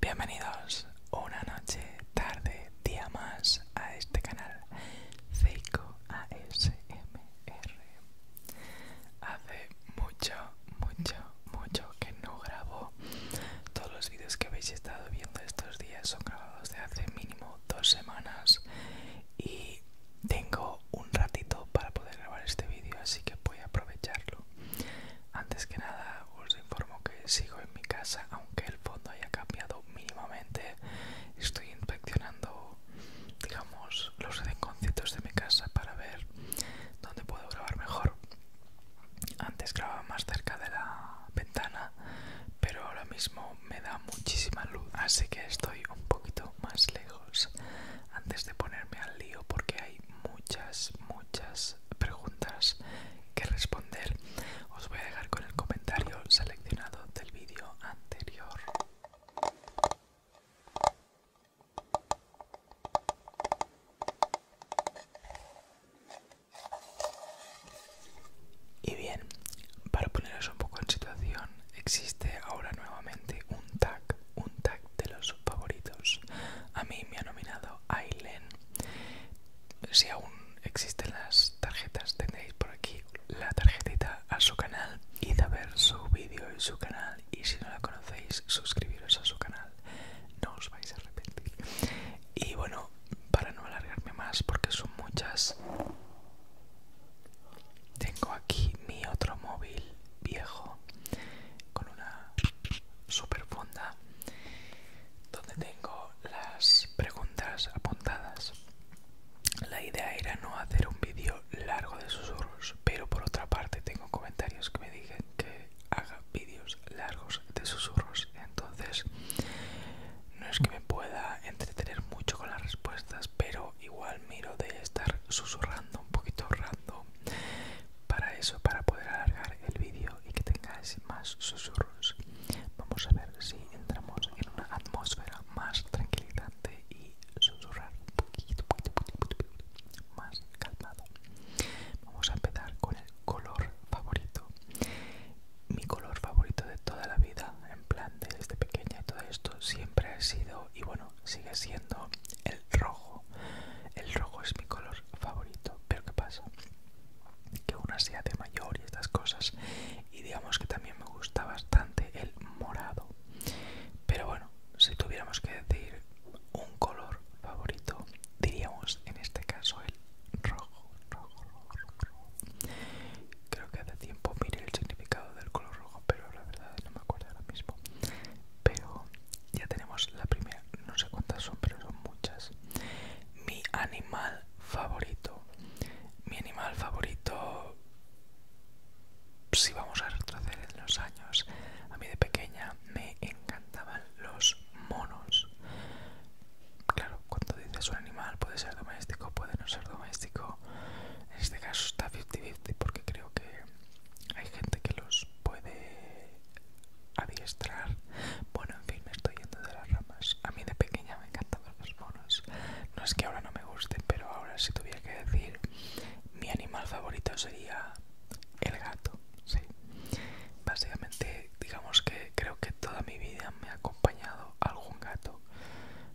Bienvenidos una noche, tarde, día más a este canal Seiko ASMR. Hace mucho, mucho, mucho que no grabo. Todos los vídeos que habéis estado viendo estos días son grabados de hace mínimo dos semanas y tengo un ratito para poder grabar este vídeo así que voy a aprovecharlo antes que nada os informo que sigo en mi casa aunque el fondo haya cambiado mínimamente estoy inspeccionando digamos los rinconcitos de mi casa para ver dónde puedo grabar mejor antes grababa más cerca de la ventana pero ahora mismo me da muchísima luz, así que estoy un poquito más lejos antes de ponerme al lío porque hay muchas, muchas preguntas que responder. Os voy a dejar con el comentario seleccionado del vídeo anterior. Y bien, para poneros un poco en situación, Existe ahora nuevamente un tag, un tag de los favoritos. A mí me ha nominado Ailen. Si aún existen las tarjetas, tendréis por aquí la tarjetita a su canal. y a ver su vídeo en su canal. Y si no la conocéis, suscribiros a su canal. No os vais a arrepentir. Y bueno, para no alargarme más, porque son muchas. Tengo aquí mi otro móvil viejo con una super funda donde tengo las preguntas apuntadas. La idea era no hacer un vídeo largo de susurros, pero por otra parte tengo comentarios que me dicen que haga vídeos largos de susurros, entonces no es que me pueda entretener mucho con las respuestas, pero igual miro de estar susurrando un poquito rando para eso, para poder alargar el vídeo y que tengáis más susurros. Vamos a ver si entramos en una atmósfera más tranquilizante y susurrar un poquito más calmado. Vamos a empezar con el color favorito. Mi color favorito de toda la vida, en plan desde pequeña todo esto siempre ha sido y bueno, sigue siendo el rojo. El rojo es mi color favorito, pero ¿qué pasa? Que una sea de mayor y estas cosas. Y digamos que también me gusta bastante el morado. Pero bueno, si tuviéramos que decir un color favorito, diríamos en este caso el rojo, rojo, rojo. Creo que hace tiempo miré el significado del color rojo, pero la verdad no me acuerdo ahora mismo. Pero ya tenemos la primera, no sé cuántas son, pero son muchas. Mi animal favorito. Mi animal favorito, si vamos a retroceder en los años, a mí de pequeña me encantaban los monos. Claro, cuando dices un animal puede ser doméstico, puede no ser doméstico. En este caso está 50-50 porque creo que hay gente que los puede adiestrar. Bueno, en fin, me estoy yendo de las ramas. A mí de pequeña me encantaban los monos. No es que ahora no me gusten, pero ahora si tuviera que decir, mi animal favorito sería el gato. Sí. Básicamente, digamos que creo que toda mi vida me ha acompañado algún gato.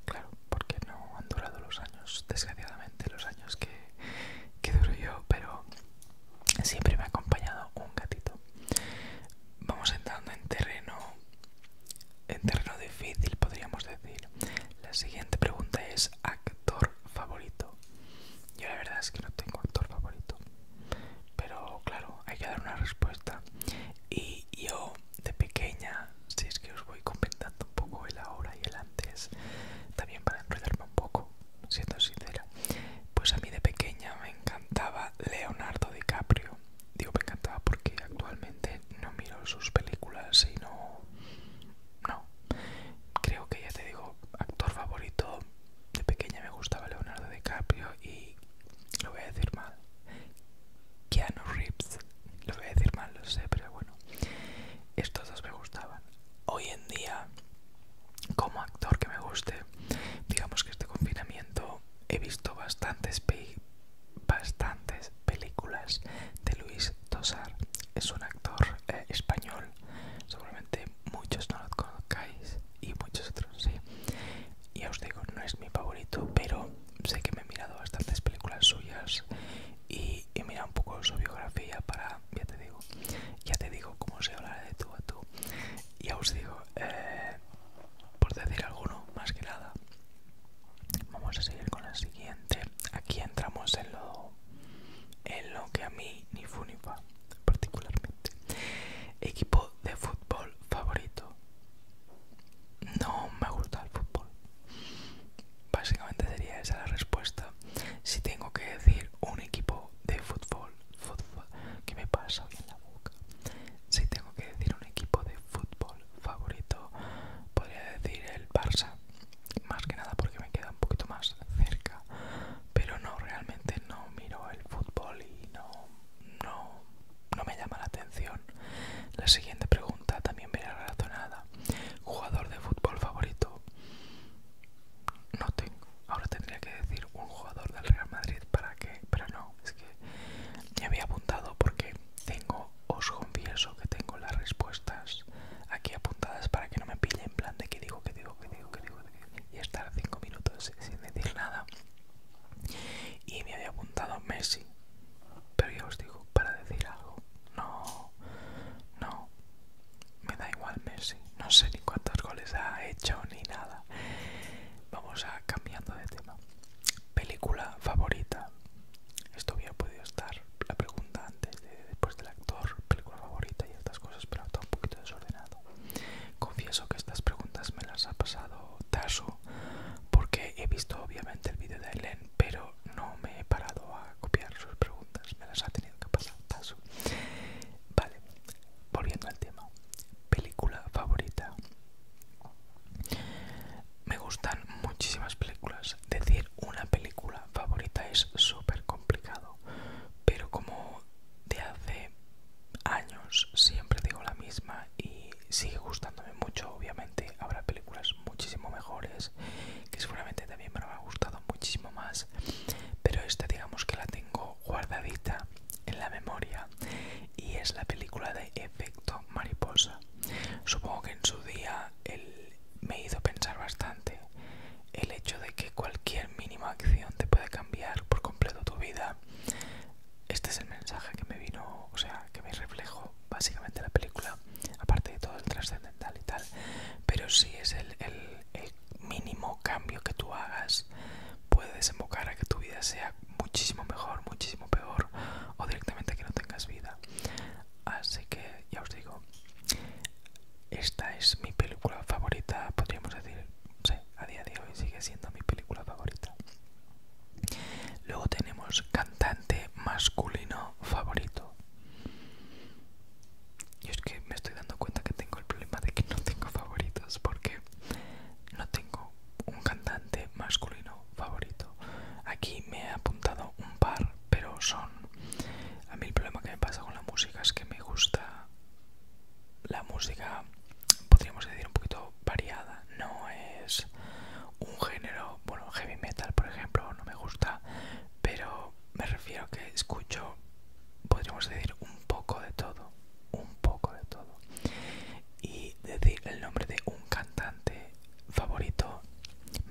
Claro, porque no han durado los años, desgraciadamente, los años que, duro yo, pero siempre me ha acompañado un gatito. Vamos entrando en terreno, en terreno difícil, podríamos decir. La siguiente pregunta es: ¿actor favorito? Yo la verdad es que no tengo actor favorito, pero claro, hay que dar una respuesta. Y yo de pequeña si es que os voy comentando un poco el ahora y el antes, también para enredarme un poco, siendo sincera. Pues a mí de pequeña me encantaba Leonardo DiCaprio. Digo me encantaba porque actualmente no miro sus películas, sino... No. Creo que ya te digo, actor favorito de pequeña me gustaba Leonardo DiCaprio y lo voy a decir mal. Keanu Reeves. Lo voy a decir mal, lo sé, pero bueno. Estos dos me gustaban. Hoy en día, como actor que me guste, digamos que este confinamiento he visto bastantes, películas de Luis Tosar. Es un actor eh, español. Seguramente muchos no lo conozcáis y muchos otros sí. Ya os digo, no es mi favorito, pero sé que me he mirado bastantes películas suyas y, mira un poco su biografía para, ya te digo, ya te digo cómo se hablará de tú a tú. Ya os digo, eh, por decir alguno, más que nada, vamos a seguir con la siguiente. Aquí entramos en lo, en lo que a mí ni fu ni particularmente. Equipo de fútbol favorito. No me gusta el fútbol. Básicamente sería esa la respuesta. Si tengo que decir un equipo de fútbol, fútbol que me pasa la boca. Si tengo que decir un equipo de fútbol favorito, podría decir el Barça. Más que nada porque me queda un poquito más cerca. Pero no, realmente no miro el fútbol y no, no, no me llama la atención. La siguiente pregunta también me verá relacionada Jugador de fútbol favorito. No tengo. Ahora tendría que decir un jugador del Real Madrid para que, pero no, es que me había apuntado porque tengo, os confieso que tengo las respuestas aquí apuntadas para que no me pille en plan de que digo, que digo, que digo, que digo, y estar cinco minutos sin decir nada. Y me había apuntado Messi, pero ya os digo, para decir algo, no, no, me da igual Messi, no sé ni cuántos goles ha hecho ni nada. Vamos a cambiando de tema. Película favorita. Esto había podido estar la pregunta antes, de, después del actor, película favorita y estas cosas, pero está un poquito desordenado. Confieso que estas preguntas me las ha pasado Taso porque he visto obviamente el vídeo de Helen, pero no me he parado a copiar sus preguntas, me las ha tenido que pasar, paso. Vale, volviendo al tema. Película favorita. Me gustan muchísimas películas. Decir una película favorita es súper complicado. Pero como de hace años siempre digo la misma y sigue gustándome mucho, obviamente habrá películas muchísimo mejores que seguramente también me ha gustado muchísimo más pero esta digamos que la tengo guardadita en la memoria y es la película de efecto mariposa supongo que en su día me hizo pensar bastante el hecho de que cualquier mínima acción te puede cambiar por completo tu vida este es el mensaje que me vino o sea que me reflejó básicamente la película, aparte de todo el trascendental y tal, pero si es el, el, el mínimo cambio que tú hagas puede desembocar a que tu vida sea muchísimo mejor, muchísimo peor o directamente que no tengas vida. Así que ya os digo, esta es mi película favorita, podríamos decir, a día de hoy sigue siendo mi película favorita. Luego tenemos cantante masculino favorito. Y es que me estoy dando cuenta que tengo el problema de que no tengo favoritos porque no tengo un cantante masculino favorito. Aquí me he apuntado un par, pero son... A mí el problema que me pasa con la música es que me gusta la música, podríamos decir, un poquito variada. No es un género, bueno, heavy metal, por ejemplo, no me gusta pero me refiero a que escucho, podríamos decir, un poco de todo, un poco de todo. Y decir el nombre de un cantante favorito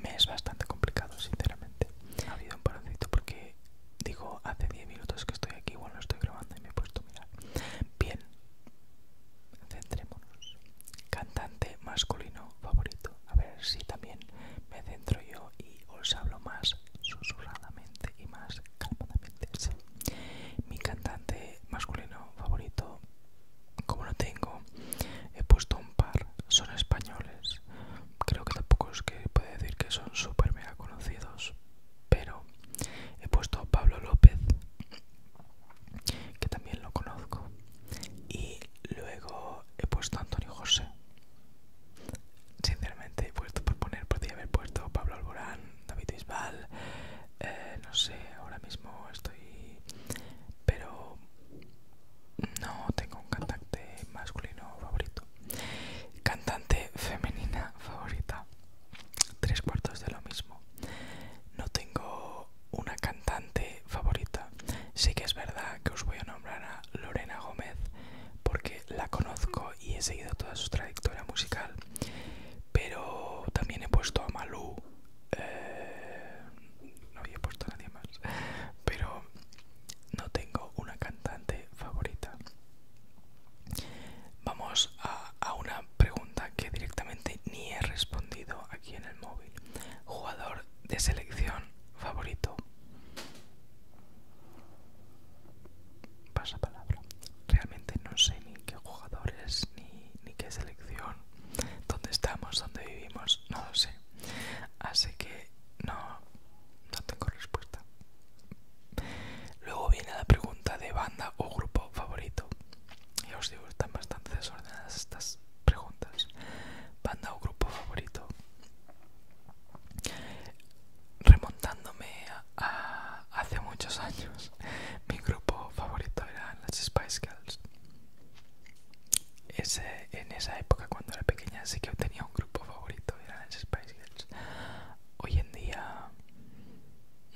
me es bastante complicado, sinceramente. Ha habido un paroncito porque digo, hace 10 minutos que estoy aquí, bueno, estoy grabando y me he puesto a mirar. Bien, centrémonos cantante masculino favorito. A ver si también me centro yo y os hablo más susurradamente y más calmadamente. Mi cantante masculino favorito, como lo tengo, he puesto un par. Son españoles. Creo que tampoco es que puede decir que son súper mega conocidos. Pero he puesto Pablo López, que también lo conozco. Y luego he puesto Antonio José. Sinceramente he puesto por poner, podría haber puesto Pablo Alborán, David Bisbal, eh, no sé, ahora mismo estoy... Pero no tengo un cantante masculino favorito. Cantante femenina favorita. Tres cuartos de lo mismo. No tengo una cantante favorita. Sí que es verdad que os voy a nombrar a Lorena Gómez porque la conozco y he seguido toda su trayectoria musical. Pero también he puesto a Malú. Eh, no había puesto a nadie más. Pero no tengo una cantante favorita. Vamos a una pregunta que directamente ni he respondido aquí en el móvil. Jugador de selección favorito. Pasa palabra. Realmente no sé ni qué jugadores, ni, qué selección, dónde estamos, dónde vivimos, no lo sé. Así que no, no tengo respuesta. Luego viene la pregunta de banda o grupo favorito. y os digo, están bastante desordenadas estas preguntas. Banda o grupo favorito. Remontándome a, hace muchos años, mi grupo favorito eran las Spice Girls. Ese, en esa época, cuando era pequeña, sí que tenía un grupo favorito, eran las Spice Girls. Hoy en día,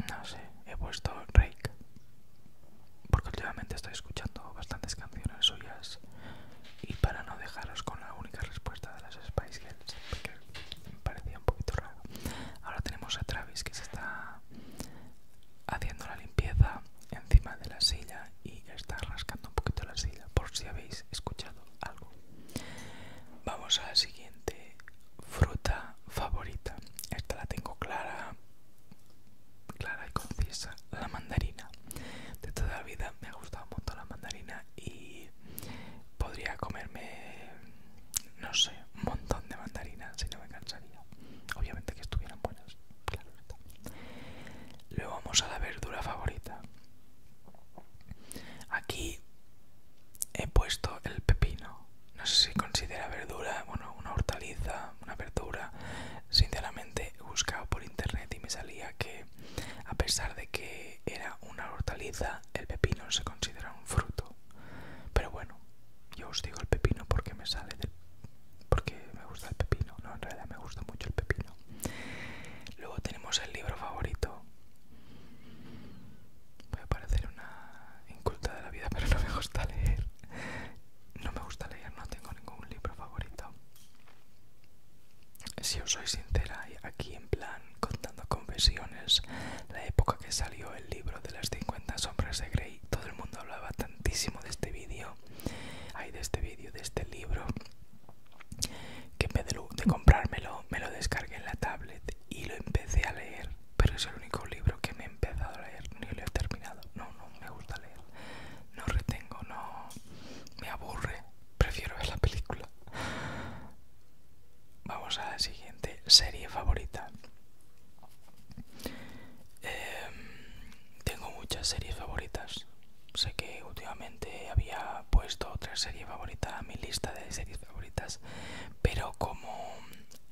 no sé, he puesto Rake, porque últimamente estoy escuchando bastantes canciones suyas y para no dejaros con la única respuesta de las Spice Girls, porque me parecía un poquito raro, ahora tenemos a Travis que se está haciendo la limpieza encima de la silla y está rascando un poquito la silla, por si habéis escuchado algo. Vamos a la siguiente fruta favorita. Esta la tengo clara clara y concisa, la mandarina. De toda la vida me ha gustado un montón la mandarina y podría comerme, no sé, un montón de mandarinas si no me cansaría. Obviamente que estuvieran buenas, claro Luego vamos a la verdura favorita. Aquí he puesto el pepino. No sé si considera verdura, bueno, una hortaliza, una verdura. Sinceramente he buscado por internet y me salía que a pesar de que era una hortaliza, el pepino se considera un fruto. Pero bueno, yo os digo el pepino porque me sale del... porque me gusta el pepino. No, en realidad me gusta mucho el pepino. Luego tenemos el libro favorito. Voy a parecer una inculta de la vida, pero no me gusta leer. No me gusta leer, no tengo ningún libro favorito. Si os soy sincera, aquí en plan contando confesiones, la época que salió el libro de las 50 sombras de Grey, todo el mundo hablaba tantísimo de este vídeo, hay de este vídeo, de este libro, que en vez de, de comprármelo, me lo descargué en la tablet y lo empecé a leer, pero es el único libro que me he empezado a leer, ni lo he terminado, no, no, me gusta leer. No retengo, no me aburre. Prefiero ver la película. Vamos a la siguiente serie favorita. Em, tengo muchas series favoritas. Sé que últimamente había puesto otra serie favorita a mi lista de series favoritas, pero como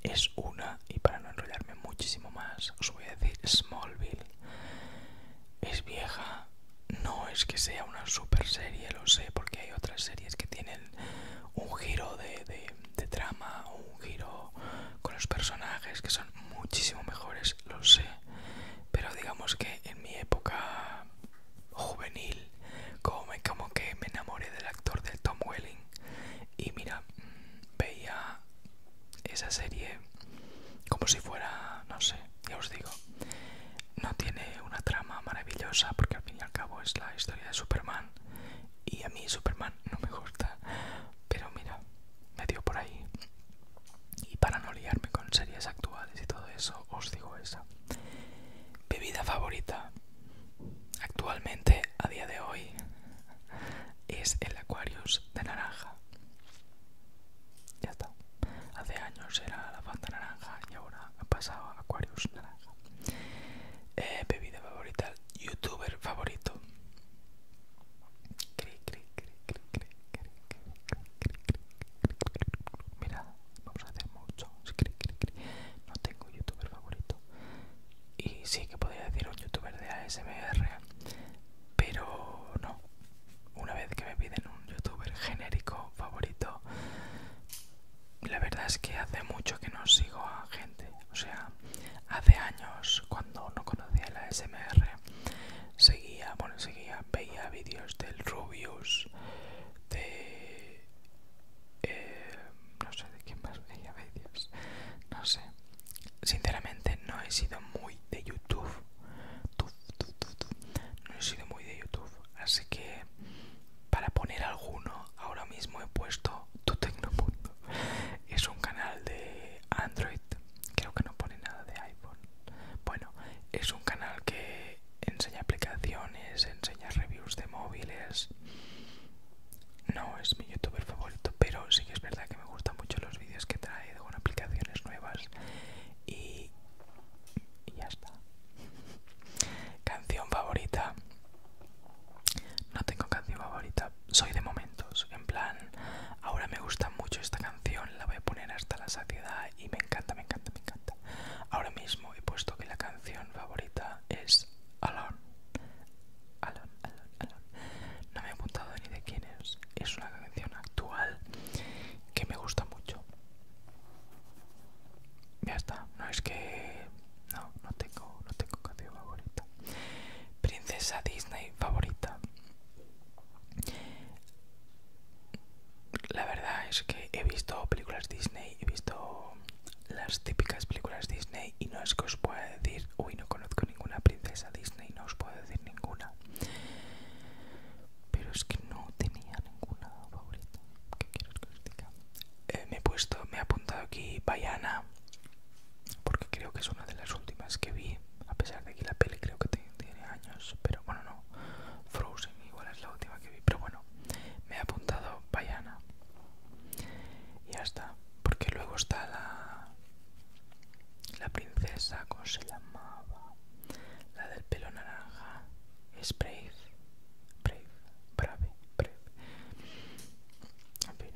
es una, y para no enrollarme muchísimo más, os voy a decir Smallville. Es vieja, no es que sea una super serie, lo sé, porque hay otras series que tienen un giro de, de, trama un giro con los personajes que son muchísimo mejores, lo sé. Pero digamos que en mi época juvenil, como, que me enamoré del actor del Tom Welling y mira, mm, veía esa serie como si fuera, no sé, ya os digo, no tiene una trama maravillosa porque al fin y al cabo es la historia de Superman y a mí Superman no me gusta, pero mira, me dio por ahí. Y para no liarme con series actuales y todo eso, os digo esa. Bebida favorita actualmente a día de hoy es el Aquarius de naranja. Ya está. Hace años era la banda naranja y ahora ha pasado a Aquarius naranja. bebida favorita, youtuber favorito. Mira, vamos a hacer mucho. No tengo youtuber favorito. Y sí que podría decir un youtuber de ASMR, pero no, una vez que me piden un youtuber genérico favorito, la verdad es que hace mucho que no sigo a gente. O sea, hace años, cuando no conocía la SMR, seguía, bueno, seguía, veía vídeos del Rubius, de. Eh, no sé de quién más veía vídeos, no sé. Sinceramente, no he sido muy de YouTube no he sido muy de YouTube, así que para poner alguno, ahora mismo he puesto Tu Punto. Es un canal de Android, creo que no pone nada de iPhone. Bueno, es un canal que enseña aplicaciones, enseña reviews de móviles. No es mi youtuber favorito, pero sí que es verdad que me gustan mucho los vídeos que trae con aplicaciones nuevas y, y ya está. Canción favorita. No tengo canción favorita. Soy de momentos. En plan, ahora me gusta mucho esta canción. La voy a poner hasta la saciedad y me encanta, me encanta, me encanta. Ahora mismo he puesto que la canción favorita es Alone. Alone, Alone, No me he apuntado ni de quién es. Es una canción actual que me gusta mucho. Ya está, no es que... No, no tengo, no tengo canción favorita. Princesa Disney favorita. La verdad es que he visto películas Disney, he visto las típicas películas Disney y no es que os pueda decir, uy, no conozco ninguna princesa Disney, no os puedo decir ninguna pero es que no tenía ninguna favorita. ¿Qué quieres que eh, me he puesto, me he apuntado aquí Bayana, porque creo que es una de las últimas que vi, a pesar de que la peli creo que tiene años, pero bueno, no. Frozen igual es la última que vi, pero bueno, me he apuntado Bayana. Y ya está, porque luego está la la princesa, ¿cómo se llamaba? La del pelo naranja. Es Brave. Brave. Brave. En fin.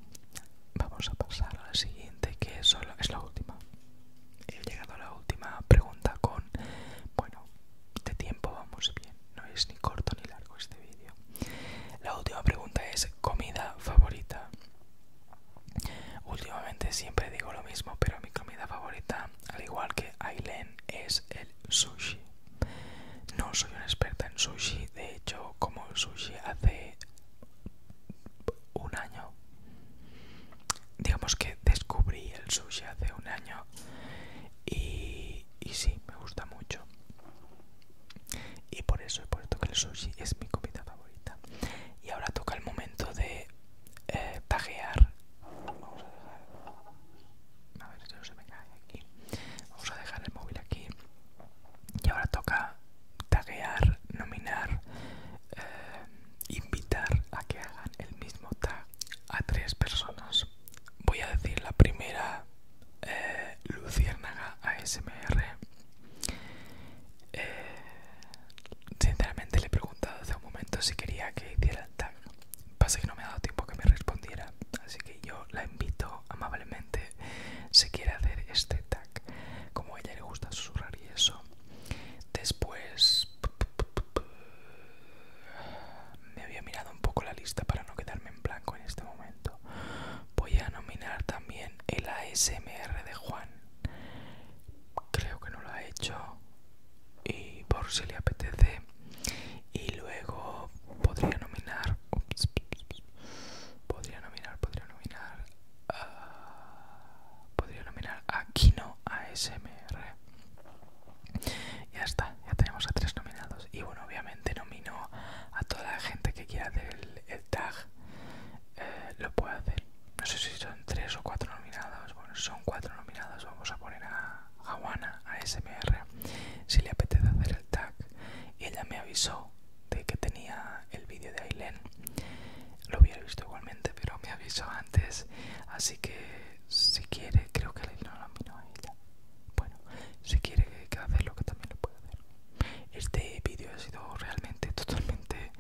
Vamos a pasar a la siguiente, que es, solo, es la última. He llegado a la última pregunta con... Bueno, de tiempo vamos bien. No es ni corto ni largo este vídeo. La última pregunta es comida favorita. Últimamente siempre digo lo mismo, pero mi comida favorita, al igual que Aileen, es el sushi. No soy una experta en sushi, de hecho como sushi hace un año. Digamos que descubrí el sushi hace un año y, y sí, me gusta mucho. Y por eso he puesto que el sushi es mi comida favorita. Y ahora toca el momento de eh, taguear vamos a dejar aquí vamos a dejar el móvil aquí y ahora toca taguear nominar eh, invitar a que hagan el mismo tag a tres personas voy a decir la primera eh, luciérnaga ASMR eh, Sinceramente le he preguntado hace un momento si quería que hiciera el tag. Pasa que no me ha dado tiempo que me respondiera. Así que yo la invito amablemente si quiere hacer este tag. Como ella le gusta susurrar y eso. Después me había mirado un poco la lista para no quedarme en blanco en este momento. Voy a nominar también el ASMR de Juan creo que no lo ha hecho y por si le apetece y luego podría nominar podría nominar podría nominar ah, podría nominar a Kino ASMR ya está ya tenemos a tres nominados y bueno obviamente nomino a toda la gente que quiera hacer el, tag eh, lo puede hacer no sé si son tres o cuatro nominados. Bueno, son cuatro nominados. Vamos a poner a Juana, a SMR, si le apetece hacer el tag. ella me avisó de que tenía el vídeo de Aileen. Lo hubiera visto igualmente, pero me avisó antes. Así que si quiere, creo que Aileen no nominó a ella. Bueno, si quiere que lo que también lo puede hacer. Este vídeo ha sido realmente totalmente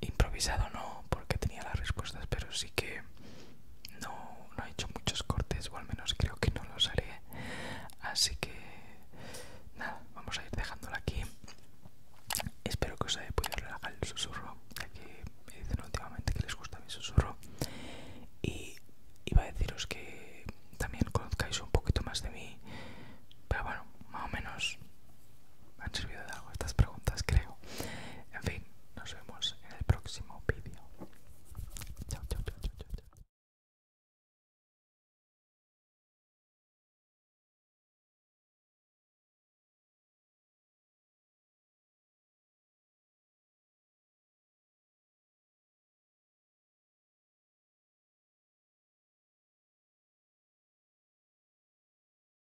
improvisado no porque tenía las respuestas pero sí que no, no he hecho muchos cortes o al menos creo que no los haré así que nada vamos a ir dejándola aquí espero que os haya podido relajar el susurro ya que me dicen últimamente que les gusta mi susurro y iba a deciros que también conozcáis un poquito más de mí pero bueno más o menos me han servido de algo estas preguntas, creo. En fin, nos vemos en el próximo vídeo. chao, chao, chao, chao. chao.